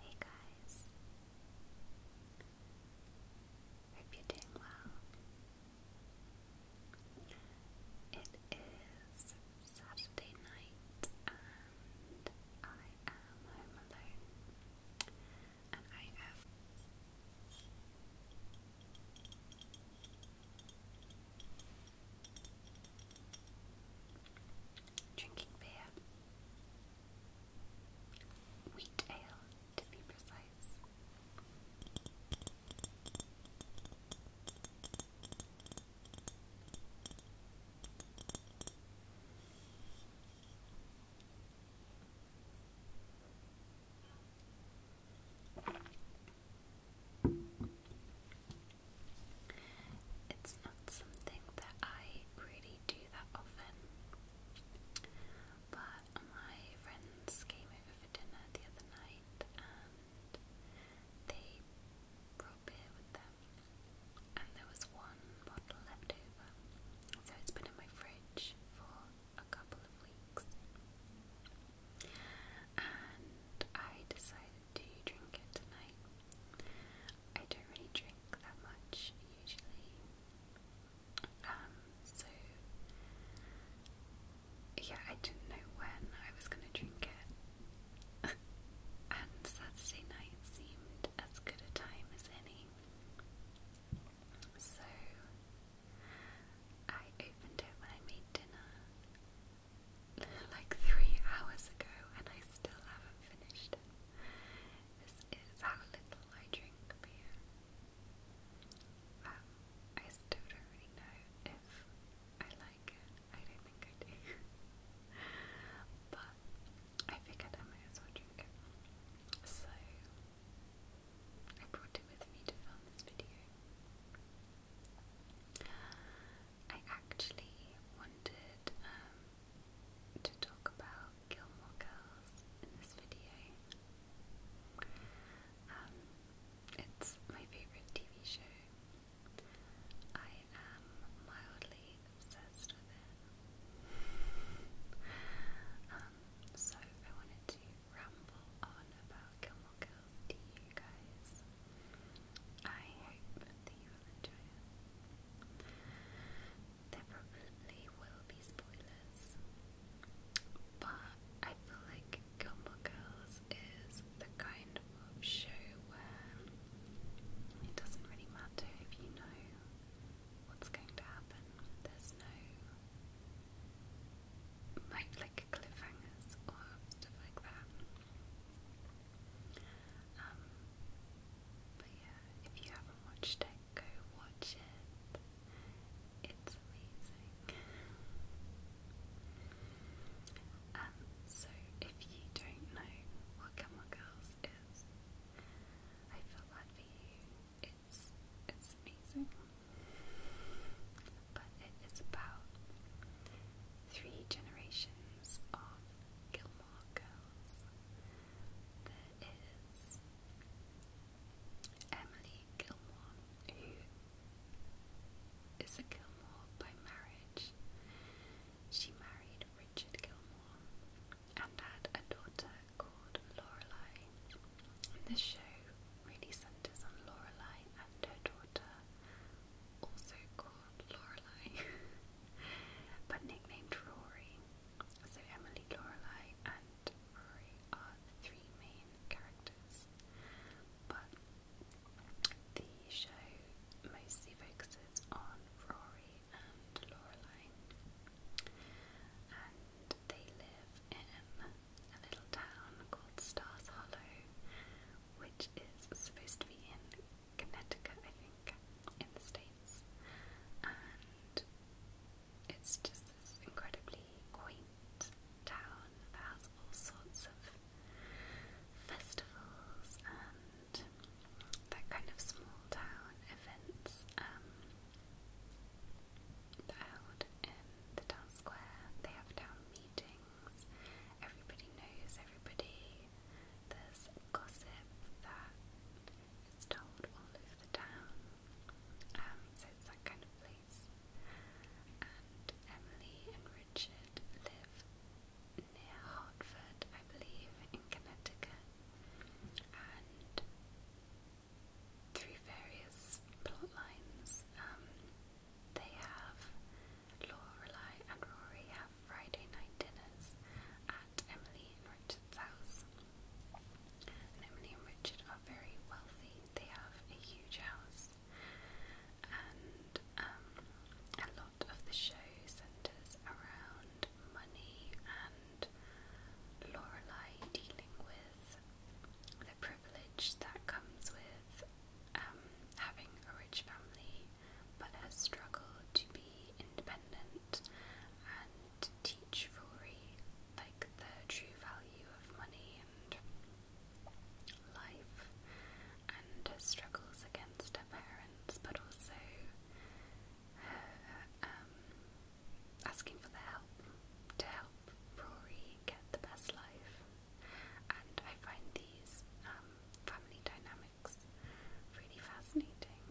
Hey guys. Hope you're doing well. It is Saturday night and I am home alone. And I have Drinking beer. Wheat ale, to be precise. It's not something that I really do that often. But my friends came over for dinner the other night and they brought beer with them. And there was one bottle left over. So it's been in my fridge for a couple of weeks. I decided to drink it tonight. I don't really drink that much usually, um, so yeah, I didn't know when I was gonna drink it, and Saturday night seemed as good a time as any. So I opened it when I made dinner, like three hours ago and I still haven't finished This is how little I drink um, I still don't really know if I like it. I don't think I do. but I figured I might as well drink it. So I brought it with me to film this video. I actually wanted um, to talk about Gilmore Girls in this video. Um, it's my favourite TV show. I am mildly obsessed with it. Um, so I wanted to ramble on about Gilmore Girls tea, you guys. I hope that you enjoy There probably will be spoilers, but I feel like Gilmore Girls is the kind of show where it doesn't really matter if you know what's going to happen. There's no like cliffhangers or stuff like that. Um, but yeah, if you haven't watched it, go watch it. It's amazing. Um, so if you don't know what Gilmore Girls is, I feel bad for you. It's it's amazing. But it is about three generations of Gilmore Girls. There is Emily Gilmore, who is a Gilmore by marriage. She married Richard Gilmore and had a daughter called Lorelei. And this show really centres on Lorelei and her daughter, also called called Lorelai, but nicknamed Rory. So Emily, Lorelai, and Rory are the three main characters, but the show mostly focuses on Rory and Lorelai, and they live in a little town called Stars Hollow, which is supposed to be in Connecticut, I think, in the States. And it's just this incredibly quaint town that has all sorts of festivals and that kind of small town events um, held in the town square. They have town meetings things. Everybody knows everybody. There's gossip that is told all over the town. Um, so it's that kind of place. And Emily and Richard live near Hartford, I believe, in Connecticut. And through various plot lines, um, they have Lorelai and Rory have Friday night dinners at Emily and Richard's house. And Emily and Richard are very wealthy. They have a huge house. And um, a lot of the show centres around money and Lorelai dealing with the privilege that comes with um, having a rich family but has struggled to be independent and teach Rory like the true value of money and life and her struggles against her parents but also um, asking for the help to help Rory get the best life. And I find these um, family dynamics really fascinating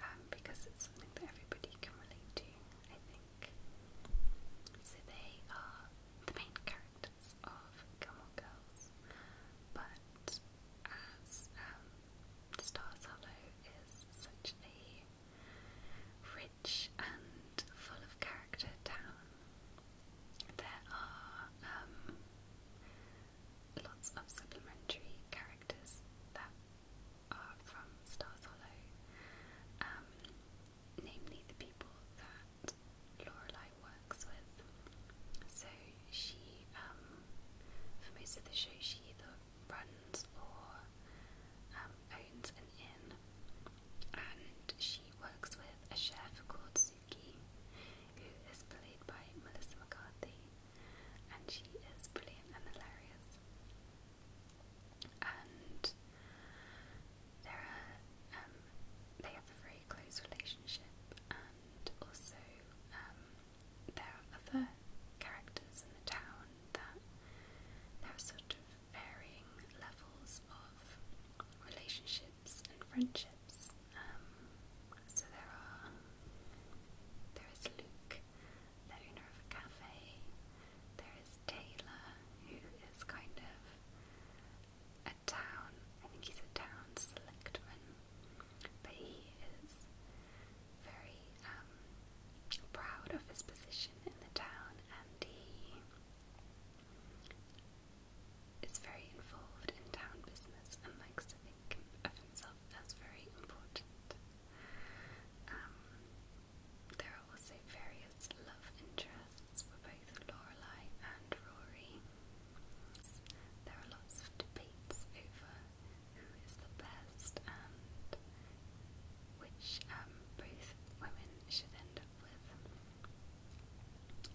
um, because it's something that everybody can relate to, I think. So they are the main characters of Gilmore Girls, but as um, Stars Hollow is such a rich and full of character town, there are um, lots of supplementary characters that are from Stars Hollow, um, namely the people that Lorelai works with. So she, um, for most of the show, she either runs or owns an inn, and she works with a chef called Suzuki, who is played by Melissa McCarthy, and she is brilliant and hilarious. And there are, um, they have a very close relationship, and also um, there are other characters in the town that there are sort of varying levels of relationship relationships and friendships. Um, so there are there is Luke, the owner of a cafe. There is Taylor, who is kind of a town. I think he's a town selectman, but he is very um, proud of his position in the town, and he is very involved in town business and likes to think of himself as very important. Um, there are also various love interests for both Lorelei and Rory. There are lots of debates over who is the best and which um, both women should end up with.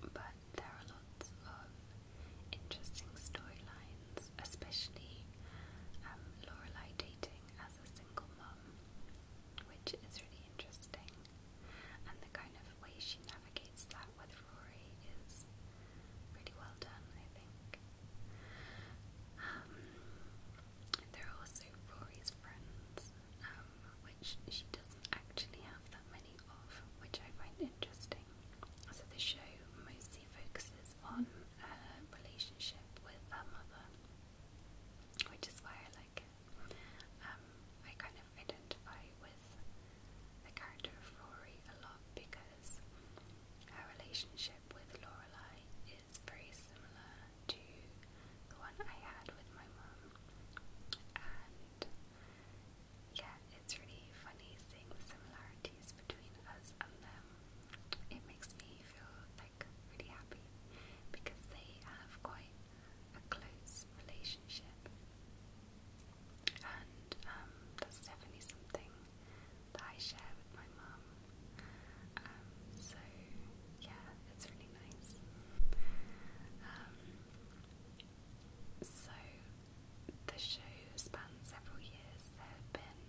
But there are lots of interesting storylines, especially um, Lorelai dating as a single mum, which is really interesting. And the kind of way she navigates that with Rory is really well done, I think. Um, there are also Rory's friends, um, which she doesn't actually have that many of, which I find interesting. So the show mostly focuses on her relationship with her mother, which is why I like um, I kind of identify with the character of Rory a lot because her relationship with Lorelai is very similar to the one I had with my mom, and yeah, it's really funny seeing the similarities between us and them. It makes me feel like really happy because they have quite a close relationship, and um, that's definitely something that I share with my mum. Um, so yeah, it's really nice. Um, so, the show spans several years. There have been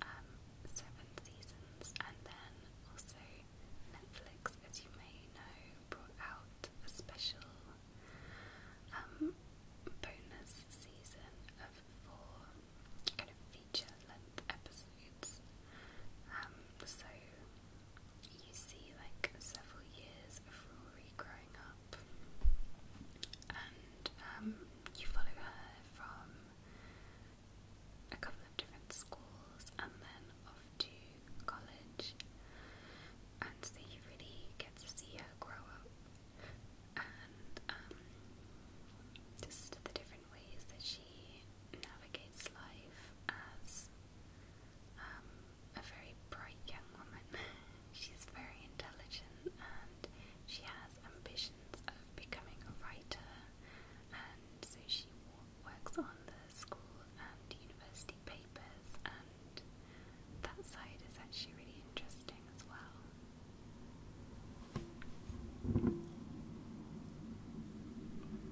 um, seven seasons, and then also Netflix, as you may know, brought out a special um, bonus season of four kind of feature length episodes. Um, so, you see like several years of Rory growing up, and um, you follow her from a couple of different schools and then off to college, and so you really get to see her grow up and um, just the different ways that she navigates life as um, a very bright young woman. She's very intelligent and she has ambitions of becoming a writer, and so she works on the school and university papers, and that side is actually really interesting as well.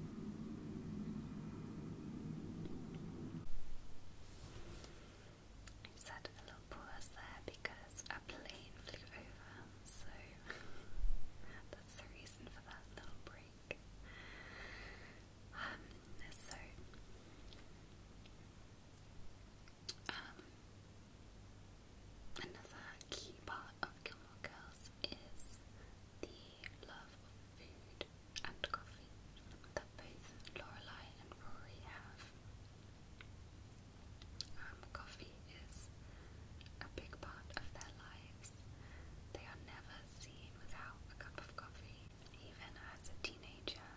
I just had a little pause there because a plane flew over, so that's the reason for that little break. Um, so, um, another key part of Gilmore Girls is the love of food and coffee that both Lorelei and Rory have. Um, coffee is a big part of their lives. They are never seen without a cup of coffee. Even as a teenager,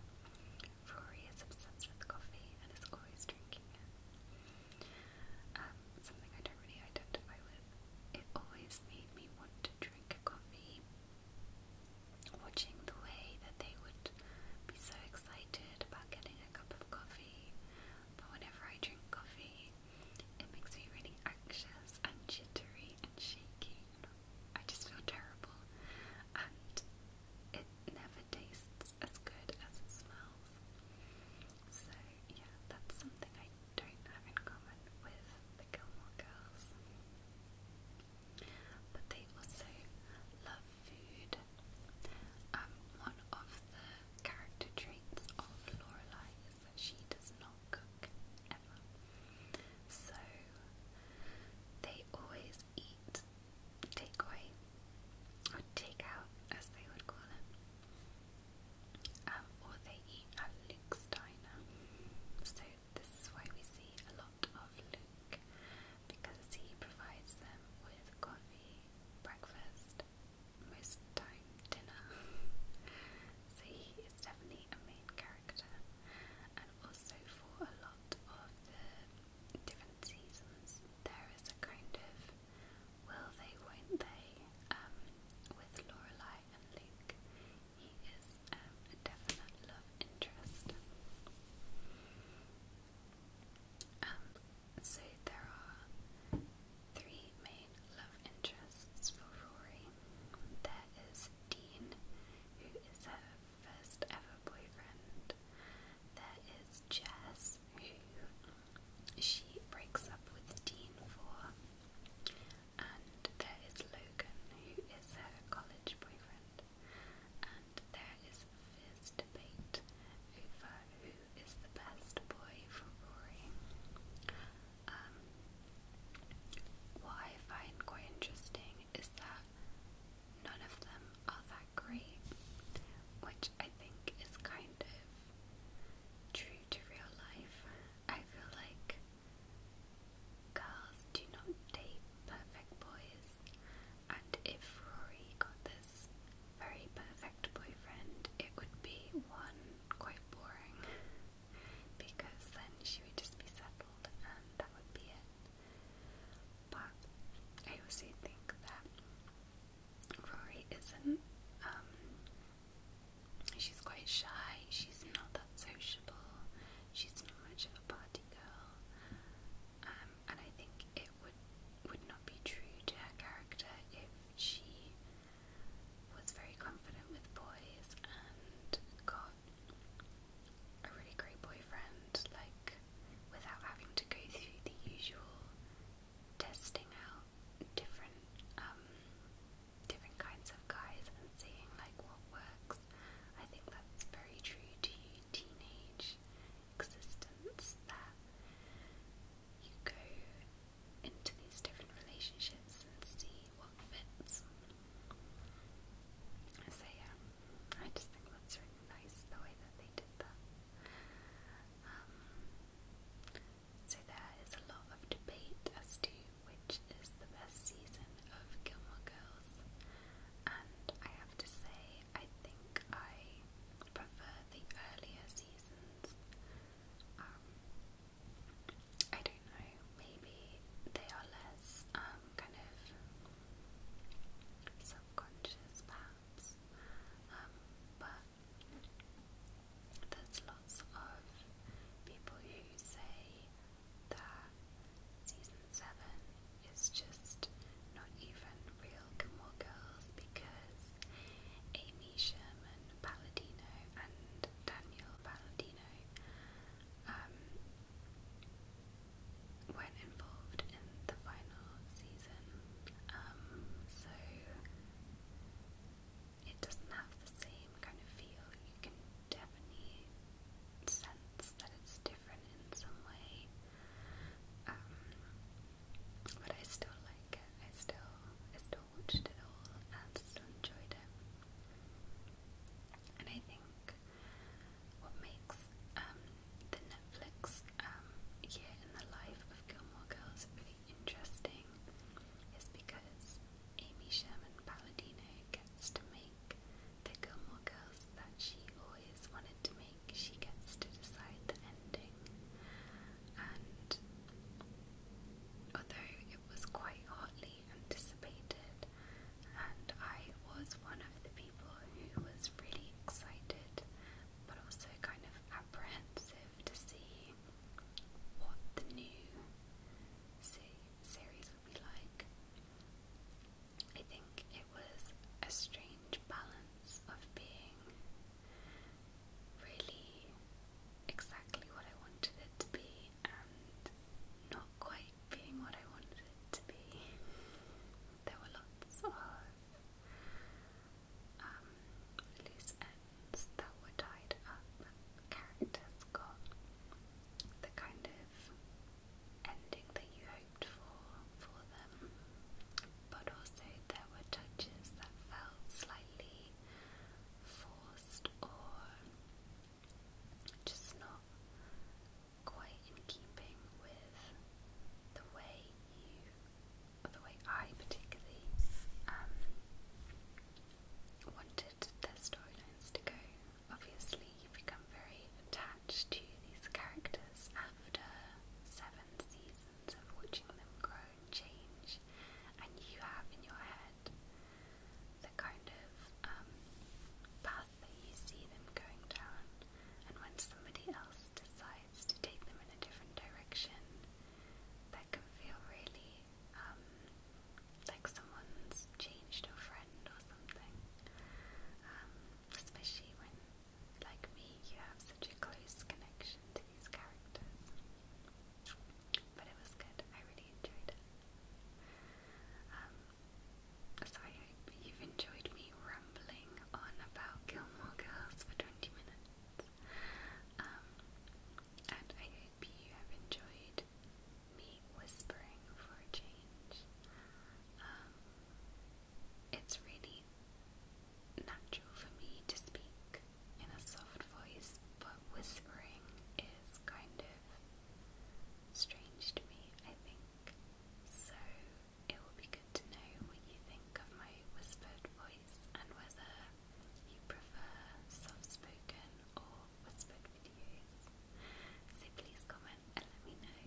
Rory is obsessed with coffee and is always drinking it. Um, something I don't really identify with. It always made me want to drink a coffee, watching the way that they would be so excited about getting a cup of coffee. But whenever I drink coffee, it makes me really anxious and jittery and shaky. I just feel terrible, and it never tastes as good as it smells. So, yeah, that's something I don't have in common with the Gilmore Girls. But they also love food. Um, one of the character traits of Lorelai is that she does not cook ever. So they always eat takeaway or takeout, as they would call it. Um, or they eat at Luke's diner. So this is why we see a lot of Luke, because he provides them with coffee, breakfast, most of the time dinner. so he is definitely a main character, and also for a lot of the different seasons, there is a kind of will they, won't they, um, with Lorelai and Luke. He is um, a definite love interest. Um, so there are three main love interests for Rory. There is Dean, who is her first ever boyfriend. There is Jess, who she breaks up with Dean for and there is Logan, who is her college boyfriend, and there is fierce debate over who is the best boy for Rory. Um, what I find quite interesting is that none of them are that great, which I think is kind of true to real life. I feel like Girls do not date perfect boys, and if Rory got this very perfect boyfriend, it would be one quite boring because then she would just be settled and that would be it. But I also think that Rory isn't um, She's quite shy, she's not that sociable, she's not much of a party girl, um, and I think it would would not be true to her character if she was very confident with boys and got a really great boyfriend, like without having to go through the usual testing out different um, different kinds of guys and seeing like what works. I think that's very true to teenage existence that you go into these different relationships and see what fits. So yeah, I just think that's really nice the way that they did that. Um, so there is a lot of debate as to which is the best season of Gilmore Girls, and I have to say, I think I prefer the earlier seasons. Um, I don't know, maybe they are less um, kind of self conscious, um, but there's lots of people who say that season 7 is just not even real Gilmore Girls because Amy Sherman Palladino and Daniel Palladino um, weren't involved in the final season. Um, so it doesn't have the same kind of feel. You can definitely sense that it's different in some way. Um, but I still like it. I still, still watched it all and still enjoyed it. And I think what makes um, the Netflix um, year in the life of Gilmore Girls really interesting is because Amy Sherman Palladino gets to make the Gilmore Girls that she always wanted to make. She gets to decide the ending. And although it was quite hotly anticipated, and I was one of the people who was really excited but also kind of apprehensive to see what the new se series would be like. I think it was a strange balance of being really exactly what I wanted it to be and not quite being what I wanted it to be. There were lots of um, loose ends that were tied up characters got the kind of ending that you hoped for for them, but also there were touches that felt slightly forced or just not quite in keeping with the way you, or the way I particularly um, wanted their storylines to go. Obviously, you become very attached to these characters after seven seasons of watching them grow and change, and you have in your head the kind of um, path that you see them going down, and when somebody else decides to take them in a different direction, that can feel really um, like someone's changed a friend or something. Um, especially when, like me, you have such a close connection to these characters. But it was good, I really enjoyed it. Um, so I hope you've enjoyed me rambling on about Gilmore Girls for 20 minutes. and I hope you have enjoyed me whispering for a change. Um, it's really natural for me to speak in a soft voice, but whispering is kind of strange to me, I think. So it will be good to know what you think of my whispered voice and whether you prefer soft spoken or What's So please comment and let me know.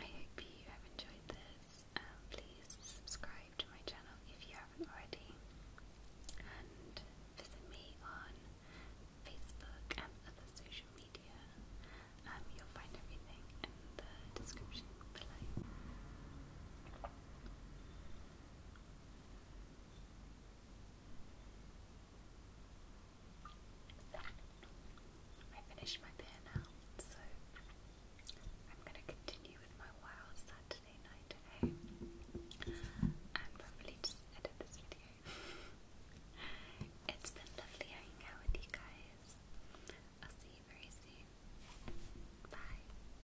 I hope you have enjoyed this. please subscribe to my channel if you haven't already. And visit me on Facebook and other social media. Um, you'll find everything in the description below. I finished my beer now, so I'm going to continue with my wild Saturday night today eh? and probably just edit this video. it's been lovely hanging out with you guys. I'll see you very soon. Bye.